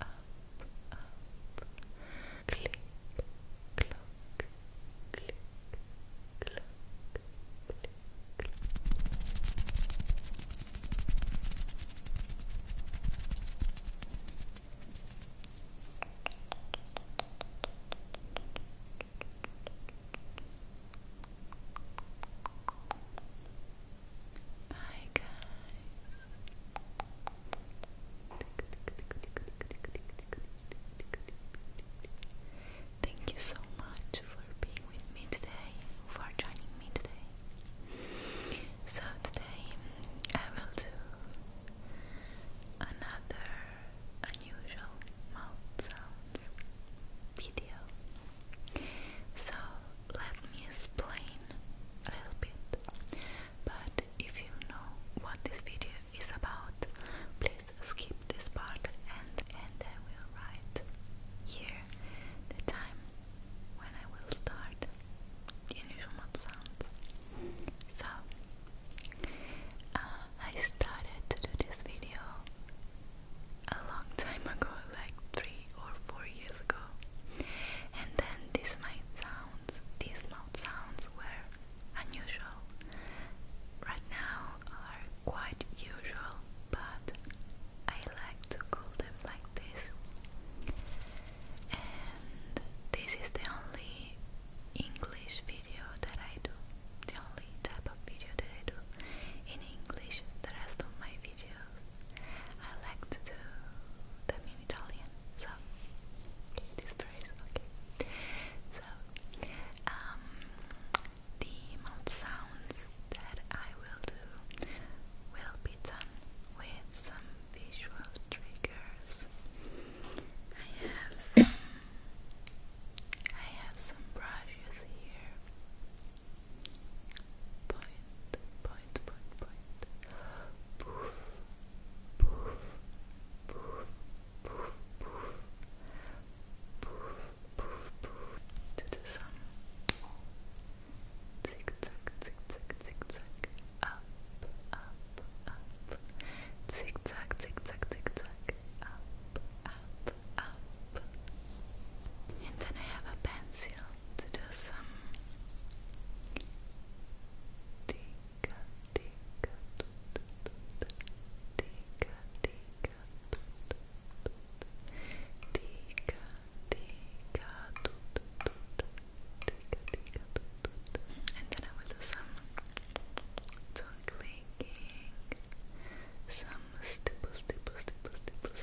up, up, click, clock, click, clock, click, clock. Hi guys. Thank you so much for being with me today, for joining me today. So, today I will do another unusual mouth sounds video. So, let me explain a little bit. But if you know what this video is about, please skip this part and and I will write here the time when I will start the initial mouth sounds. So uh, I started to do this video a long time ago, like three or four years ago. And then these mouth sounds were unusual. Right now are quite usual, but I like to call them like this. And this is the only English video that I do, the only type of video that I do in English. The rest of my videos videos, I like to do them in Italian, so this phrase, okay. So, um, the mouth sounds that I will do will be done with some visual triggers. I have some, I have some brushes here point, point, point, point. Poof, poof, poof, poof, poof, poof, poof, poof. To the sun. Zig zag, zig zag, zig zag. Up, up, up. Zig zag, zig zag, zig zag. Up, up, up. And then I have a pencil to do some and then I will do some clicking, some stipple, stipple, stipple, stipple,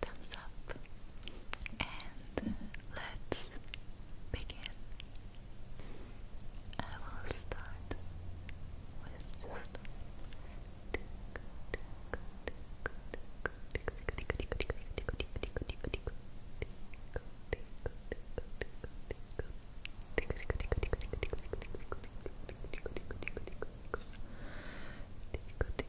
thumbs up, and let's begin. I will start with Tap, tap, tap,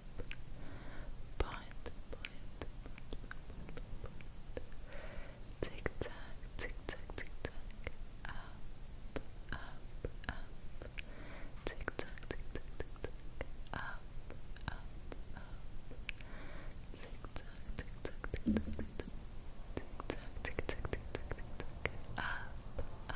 point, point, point, point, tick tack, tick tack, tick tack, up, up, up, tick tack, tick tack, tick tack, up, up, up, tick tack, tick tack, tick tack, tick tack. Tick tack, tick tack, tick tack, up, up, up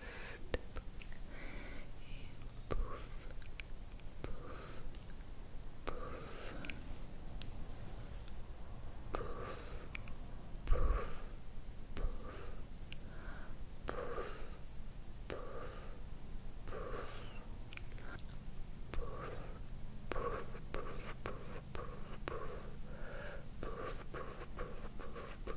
step and poof, poof, poof, poof, poof, poof, poof, poof, poof. Poof, poof, poof, poof, poof, poof, poof, poof, poof, poof, poof,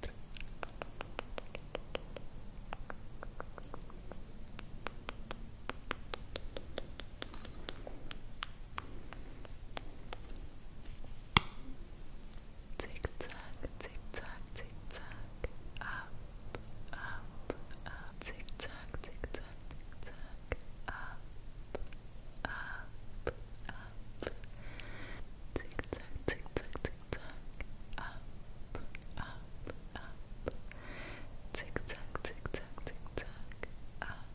Tick tock, tick tock, tick tock, up, up, up, tick tock, tick tock, tick up, up, up, tick tock, tick tock, tick zigzag, up, up, up, zigzag, zigzag, zigzag, up,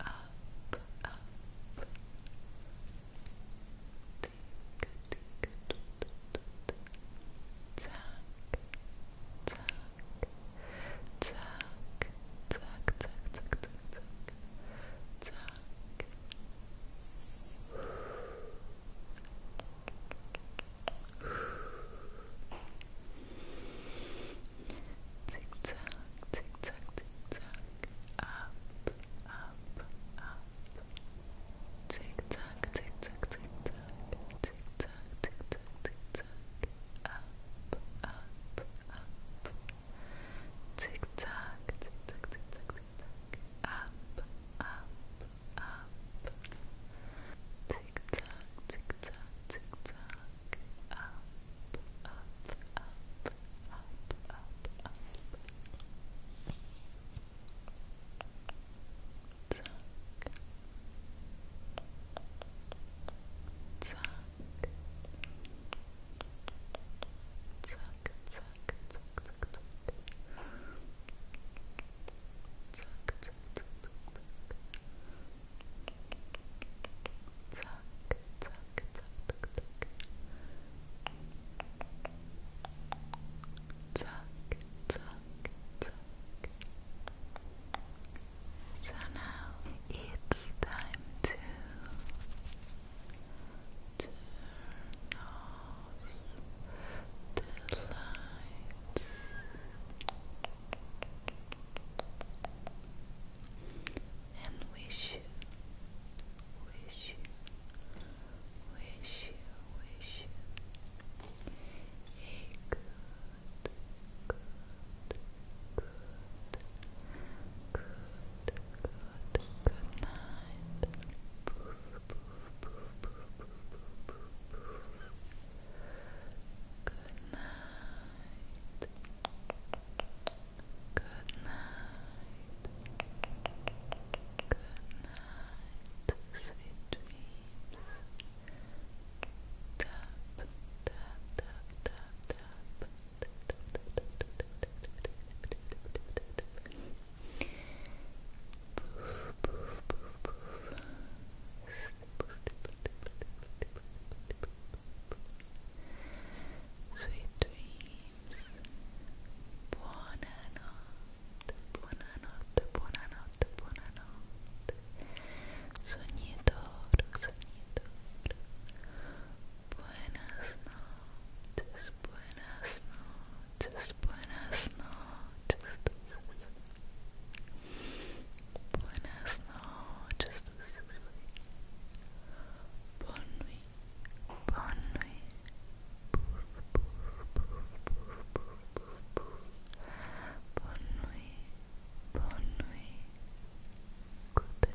up, up. Tick, tick, toot, toot, zack, zack, zack, zack, zack, zack, tuck, tuck. Tick tock, tick tock, up, up, up. Tick tock, tick tock, tick tock, tick tock, tick tock, tick tock, up, up, up. Tick tock, tick tock, tick tock, tick tock. Up, up, up. Tick tock, tick tock, tick tock. Up, up, up, up, up, up. Tuck. Tuck. Tuck, tuck, So now it's time to Turn off the lights. And wish you, wish wish wish you good, good, good good night. Good night. Good night. Good night. Sweet dreams. Tap, tap, tap, tap, tap. Sweet dreams. Buonanotte, buonanotte, buonanotte, buonanotte. Sognitoro, sognitoro. Buenas noches, buenas noches, buenas noches. Buenas noches. Bonne nuit, bonne nuit. Bonne nuit, bonne nuit. Good night.